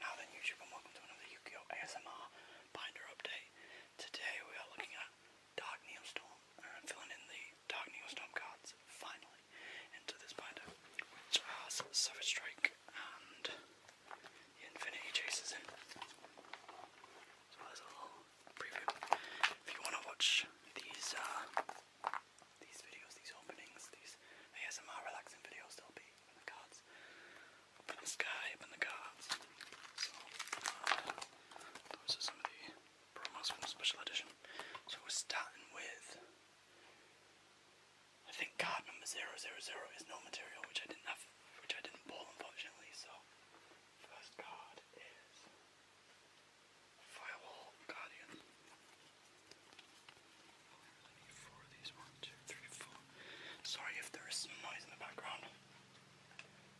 Now then YouTube and welcome to another Yu-Gi-Oh! ASMR binder update. Today we are looking at Dark Neostorm and I'm filling in the Dark Neostorm cards finally into this binder which has Savage Strike and Infinity Chases in. So there's a preview. If you want to watch these uh, these videos, these openings, these ASMR relaxing videos, they'll be the gods. the sky, up the gods. So, uh, those are some of the promos from the special edition. So we're starting with. I think card number 000 is no material, which I didn't have, which I didn't pull unfortunately, so. First card is. Firewall Guardian. I Sorry if there is some noise in the background.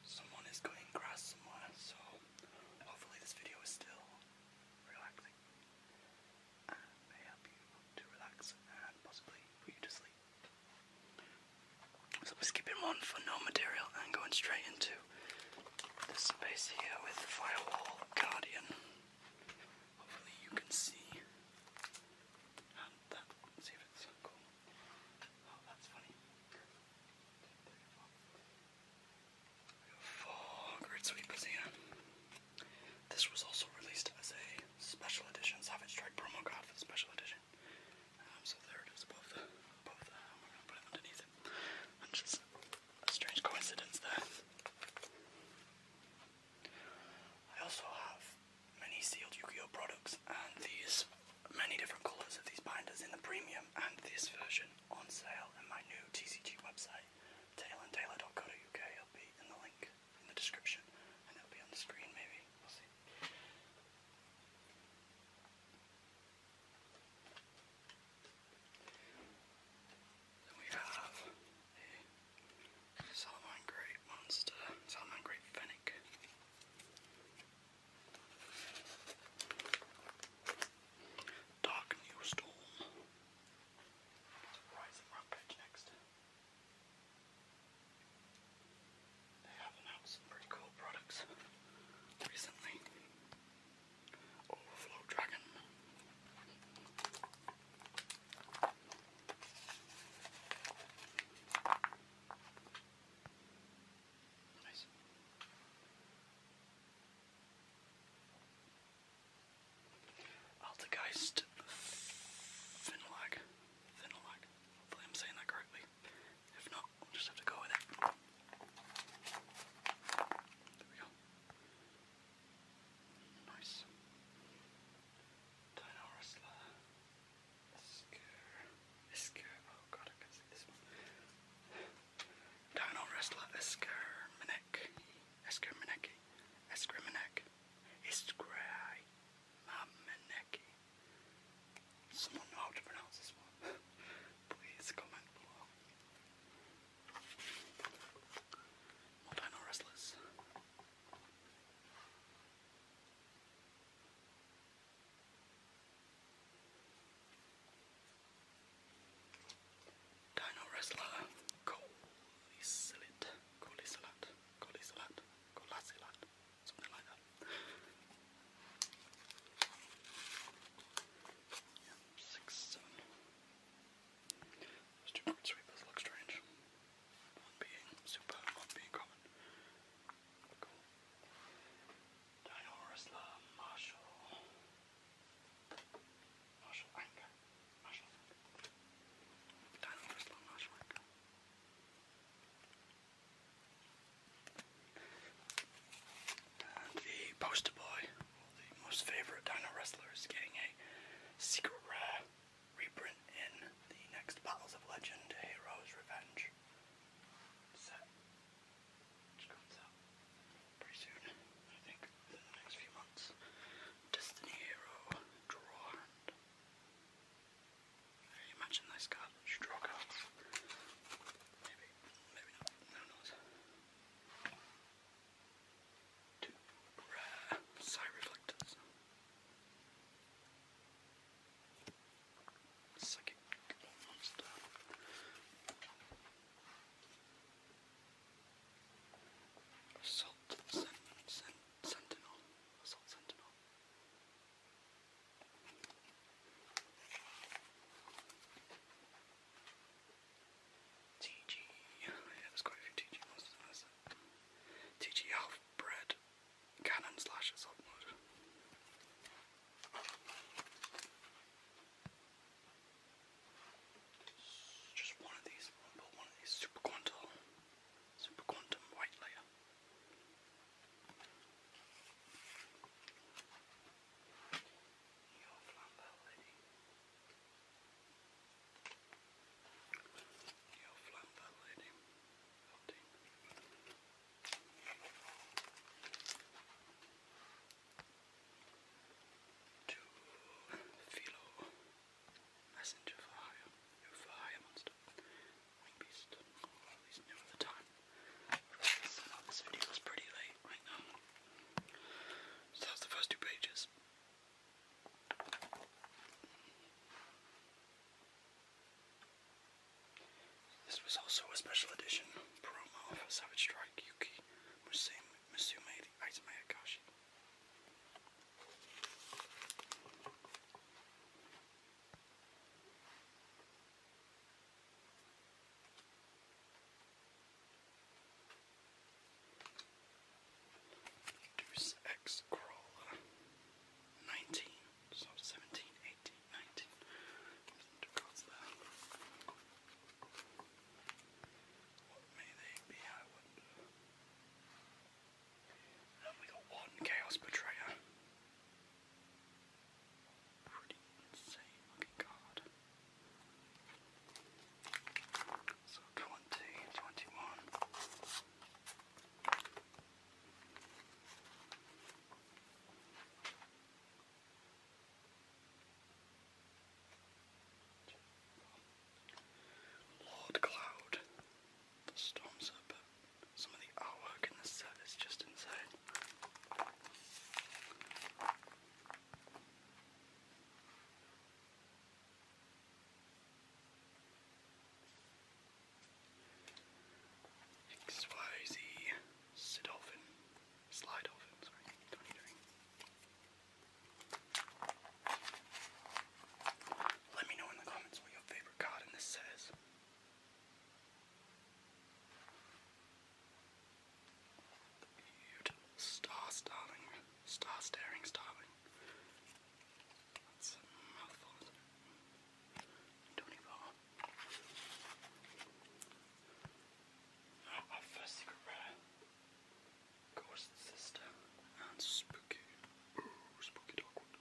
Someone is cutting grass somewhere, so hopefully this video is still relaxing you So we're skipping one for no material and going straight into this space here with Firewall Guardian. Oh great sweepers here. This was also released as a special edition, Savage Strike promo card for the special edition. Um, so there it is above the we're gonna put it underneath it. Which strange coincidence there. I also have many sealed Yu-Gi-Oh products and these many different colours of these binders in the premium and this version on sale in my new TCG website, dot co UK. It'll be in the link in the description and it'll be on the screen maybe. We'll see. we have Solomon Great Monster, Solomon Great Fennec. Dark New Storm. Rising Rampage next. They have announced pretty cool products recently. Overflow Dragon. Nice. Altergeist Finlag. Hopefully I'm saying that correctly. If not, I'll just have to go with it. There we go. Nice. Esker. Esker. Oh god, I can see this one. Dino Esker Minek. Esker Mineki. Esker Minek. Iskrai. Mameneki. Someone know how to pronounce this one. Please comment below. More dino wrestlers. Dino wrestler Colisilat, Colisilat, Colisilat, Colisilat, something like that. six, seven. Those sweepers look strange. One being super, one being common. Cool. Dino Wrestler Marshall. Marshall Anger. Marshall. Dino Wrestler Marshall the poster boy the most favorite dino wrestler is getting a secret rare reprint in the next Battles of Legend Heroes Revenge set, which comes out pretty soon, I think, within the next few months. Destiny Hero Draw Can you imagine this card? draw cards. Maybe, maybe not. Who knows? to rare ah, psi reflectors. Psychic monster. Assault sen sen sentinel. Assault sentinel. TG. Yeah, there's quite a few TG monsters TG half bread cannon slash assault mode. Just one of these, one of these super quantum, super quantum white layer. You'll flap that lady. To Philo, messenger for monster, wing at least knew the time. this video is pretty late right now. So that's the first two pages. This was also a special edition promo for Savage Strike Yuki Musume, Musume the Deuce X Crawler 19, so 17, 18, What may they be, And we got one Chaos Betrayer. Pretty insane looking card. So 20, Lord Cloud, the storms up. Some of the artwork in the set is just insane. XYZ Sidolphin. Slidolphin, sorry. Let me know in the comments what your favorite card in this set star staring, star staring starling. That's a mouthful, isn't Our first secret rare. Ghost sister and spooky. Ooh, spooky dogwood.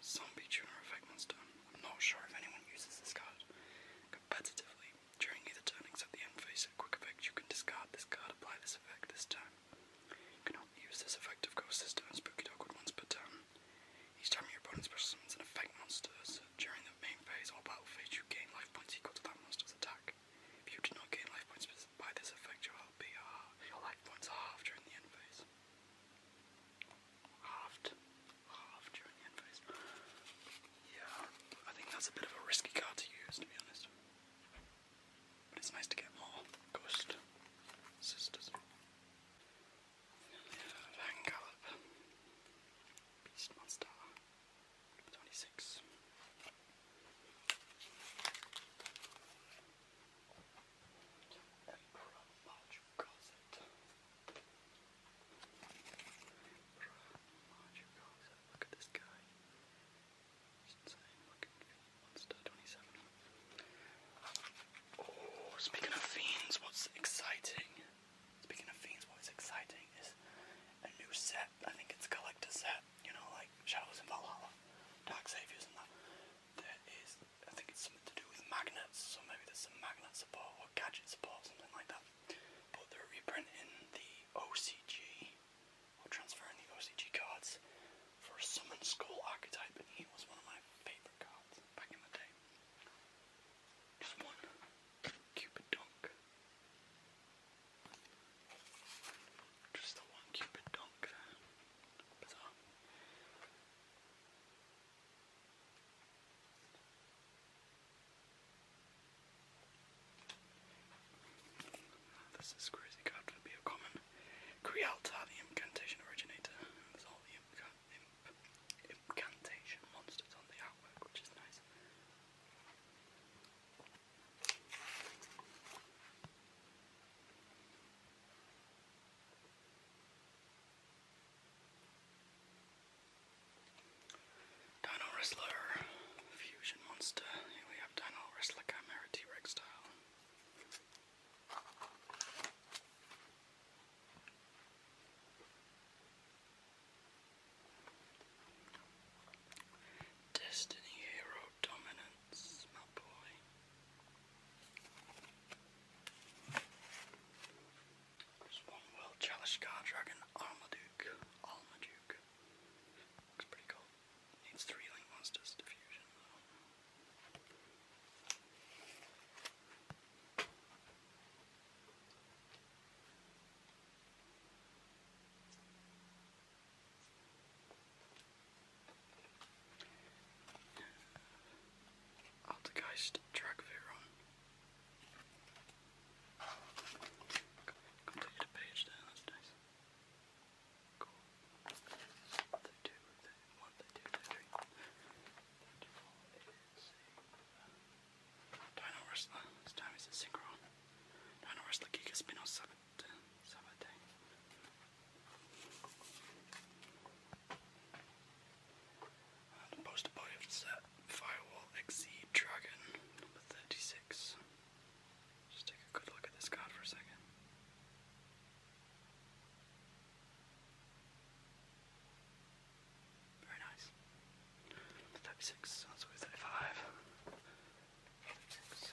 Zombie tuner effect monster. I'm not sure if anyone uses this card during either turnings of the end phase quick effect, you can discard this card, apply this effect this time. You cannot use this effect of Ghost this turn, Spooky Dogwood once per turn. Each time your opponent summons an effect monster during the main phase or battle phase, you gain life points equal to that monster's attack. If you do not gain life points by this effect, your, LP are, your life points are halved during the end phase. Halved. Yeah, I think that's a bit of a risky card to use, to be honest. But it's nice to get more Ghost Sisters. Van Gallop, Beast Monster, number 26. Emperor March Cosset. Oh, speaking of fiends, what's exciting? Speaking of fiends, what's exciting is a new set. I think it's a collector set. You know, like Shadows and Valhalla, Dark Saviors, and that. There is, I think it's something to do with magnets. So maybe there's some magnet support or gadget support, something like that. But they're reprinting the OCG, or transferring the OCG cards for a Summon School archetype, and he was one of my favourite cards back in the day. Just one Cupid Dunk. Just the one Cupid Dunk there. Bizarre. This is crazy card to be a common. Crealta, the incantation originator. incantation monsters on the artwork, which is nice. Dino Wrestler Fusion Monster. Here we have Dino Wrestler Chimera T-Rex style. Destiny Hero Dominance, my boy. There's one Will Chalice Dragon Armaduke. Armaduke. Looks pretty cool. Needs three link monsters to fusion Altergeist Dragveron. Completed a page there, that's nice. Cool. Dino Wrestler, this time it's a Synchron. Dino Wrestler Giga Spin the poster set, Firewall Exceed Dragon, number 36. Just take a good look at this card for a second. Very nice. 36, that's only 35. 36.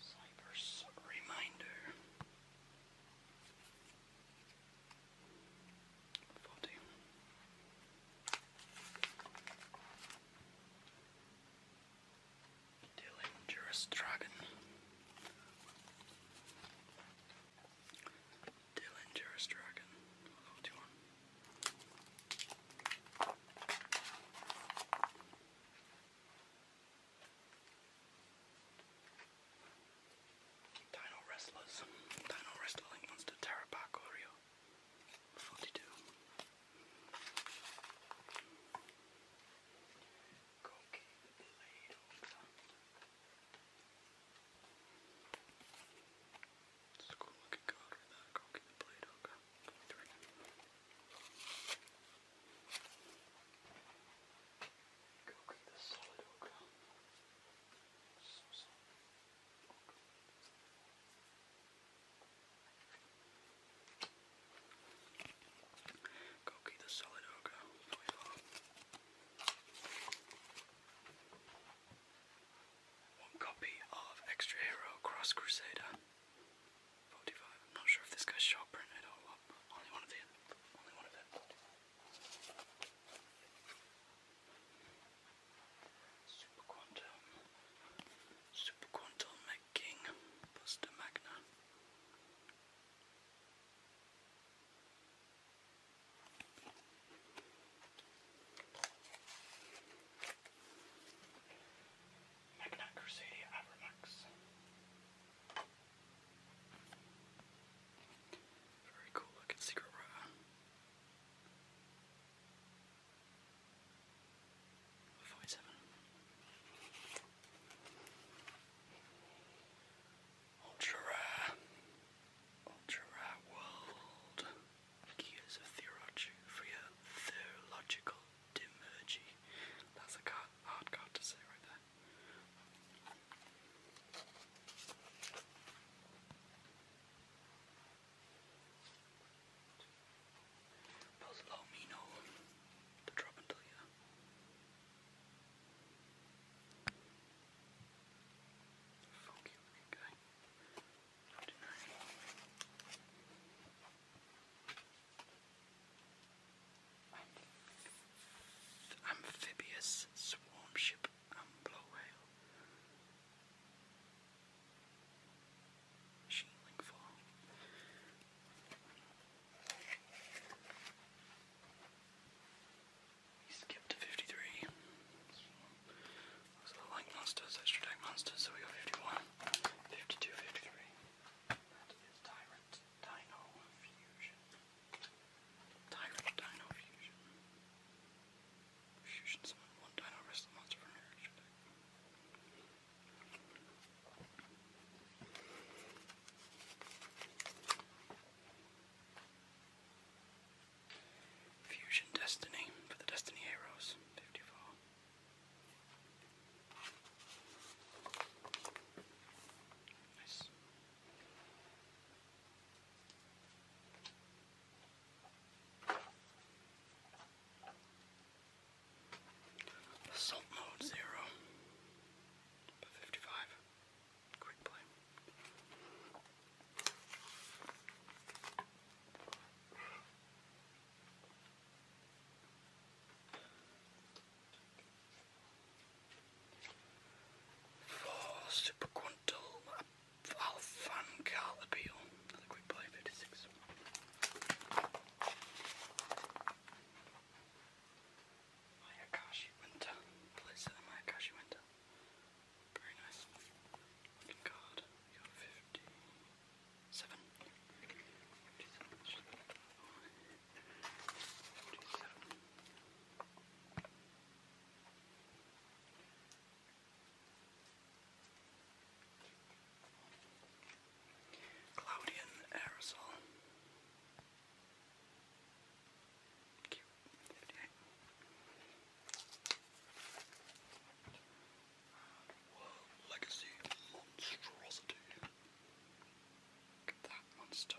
Cyber's reminder. Forty. Dillinger's Dragon. Dillinger's Dragon. Hello, Dino Wrestlers. Dino Wrestling wants to tear back Oreo. 42. Go keep the blade over. It's a cool looking card with that cocky the blade hooker. Three. Cocky the solid hooker. the solid hooker. One copy of Extra Hero Cross Crusader. 45. I'm not sure if this guy's shop printed or what, only one of the only one of them. Super Quantum. Super Quantum Mech King. Magna. Magna Crusadia Very cool looking secret rare. Forty seven. Ultra rare. Ultra rare world. Gears Theology for your theological dimergy. That's a card, hard card to say right there. Pozzolomino to drop until you. Funky looking guy amphibious swarm ship Ambler Whale. Shielding for. He skipped to 53. Those look like monsters, extra deck monsters, so we got 51, 52, 53. That is Tyrant Dino Fusion. Tyrant Dino Fusion. Fusion summon one Dino Wrestler monster from your extra deck. Fusion Destiny for the Destiny Heroes, 54. Nice. Assault mode zero, fifty-five. Quick play. For Superquantal Alphan Carl Appeal, another quick play 56. Mayakashi Winter, please, uh, Mayakashi Winter. Very nice looking card. We got 57. Cloudian aerosol. Cute. 58. Legacy Monstrosity. Look at that monster.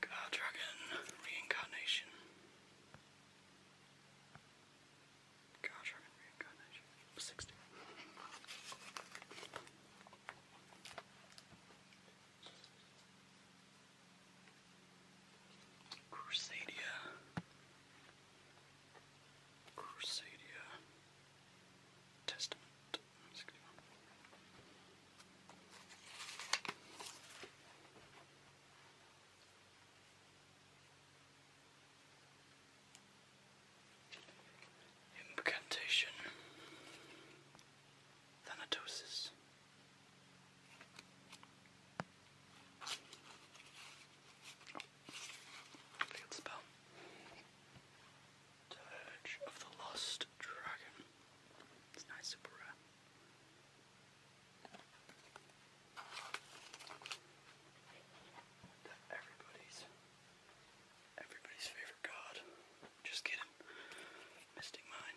Gar Dragon Reincarnation. Gar Dragon Reincarnation. 60. Crusadia. Crusadia. Testament Incantation Thanatosis spell. Dirge of the Lost Dragon. It's nice, super rare. everybody's, everybody's favorite card. Just kidding. Mystic Mine.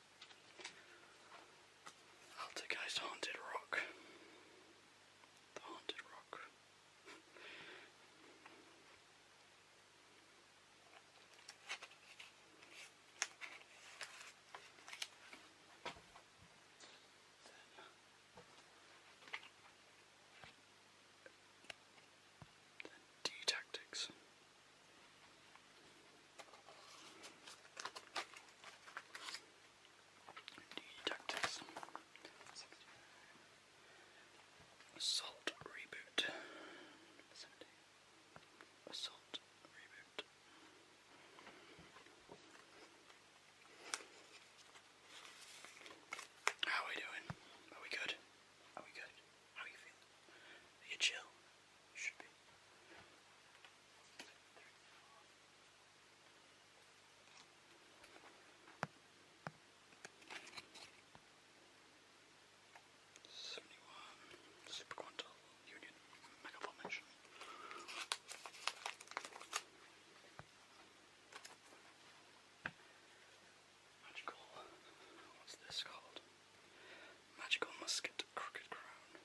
Altergeist Haunted Rock. The Haunted Rock. then D Tactics. Tactics. Assault reboot. Number reboot. How are we doing? Are we good? Are we good? How are you feeling? Are you chill? should be. Seventy-one superquantal union mega Magical. What's this called? Magical musket, crooked crown.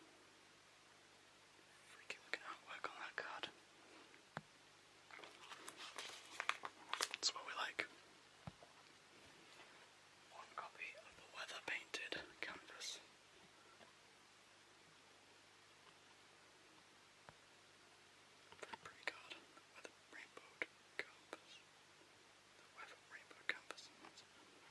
Freaking we can on that card. That's what we like. One copy of the weather painted canvas. Weather rainbow canvas. weather rainbow canvas.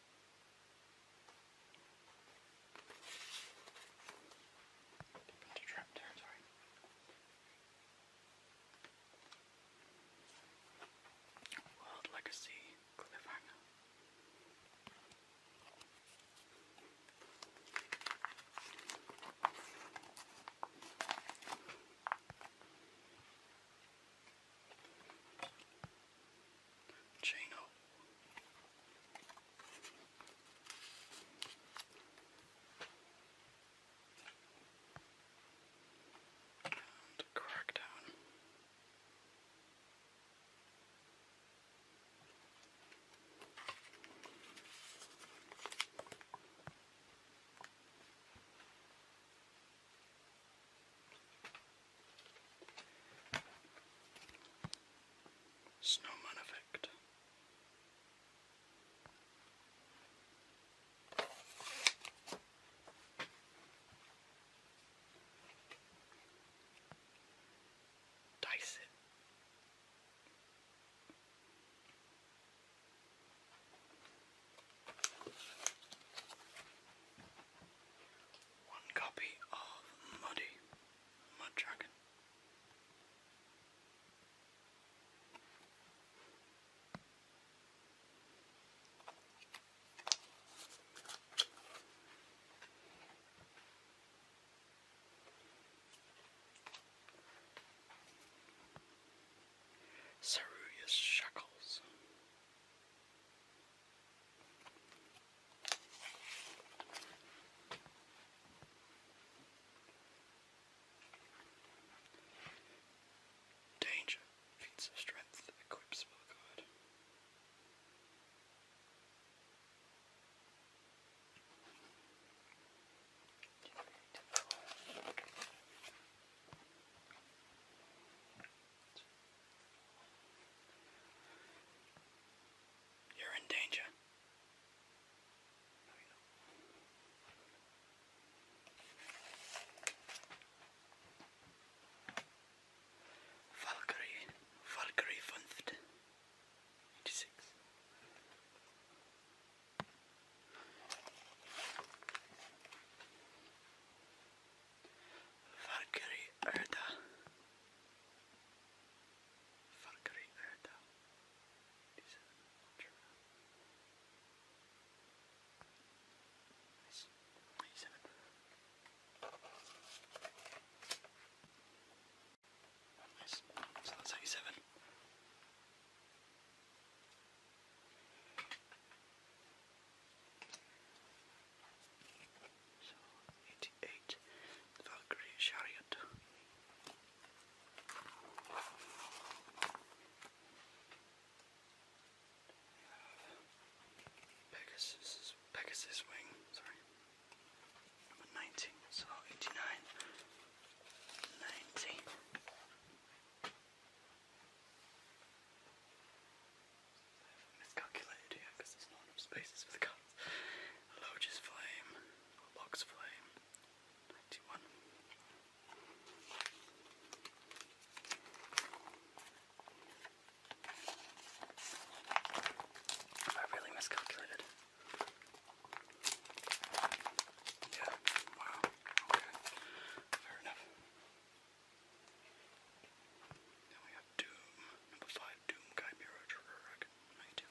Put the World Legacy Cliffhanger. Chino. And Crackdown. Snowman effect. Dice it one copy of Muddy Mud Dragon. Saruya's Shackles Danger feats of strength equips Spellguard. You're in danger. Valkyrie, Valkyrie Funft, 86. Valkyrie Erda. Valkyrie Erda. Nice. So that's 87. So, 88, Valkyrie Chariot. Pegasus, Pegasus Wing, sorry. Number 19, so 89, I miscalculated here because there's not enough spaces for the cards. Loge's Flame, Box Flame, 91. I really miscalculated. Yeah, wow, okay, fair enough. Then we have Doom, number five, Doom Guy Miro Drurg, 92.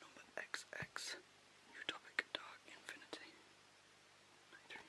Number XX, Utopic Dark Infinity, 93.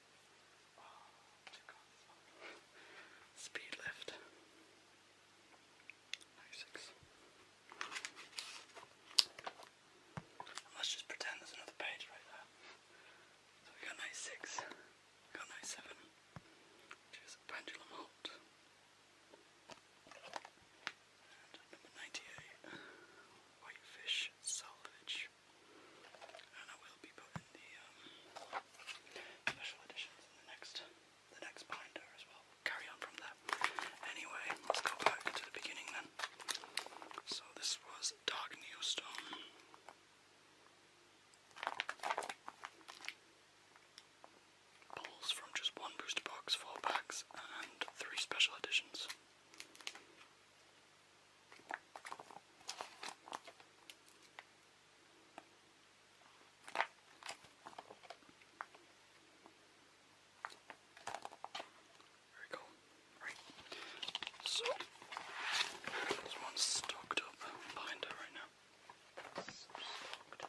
Oh, speed lift. Ninety-six. Let's just pretend there's another page right there. So we got ninety-six. We got ninety-seven. Which is pendulum halt. And number ninety-eight. Whitefish salvage. And I will be putting the um, special editions in the next the next binder as well. carry on from there. Anyway, let's go back to the beginning then. So this was Dark Neo Stone. Pulls from just one booster box, four packs, and three special editions. Very cool. Right. So this one's stocked up behind her right now. Look at that.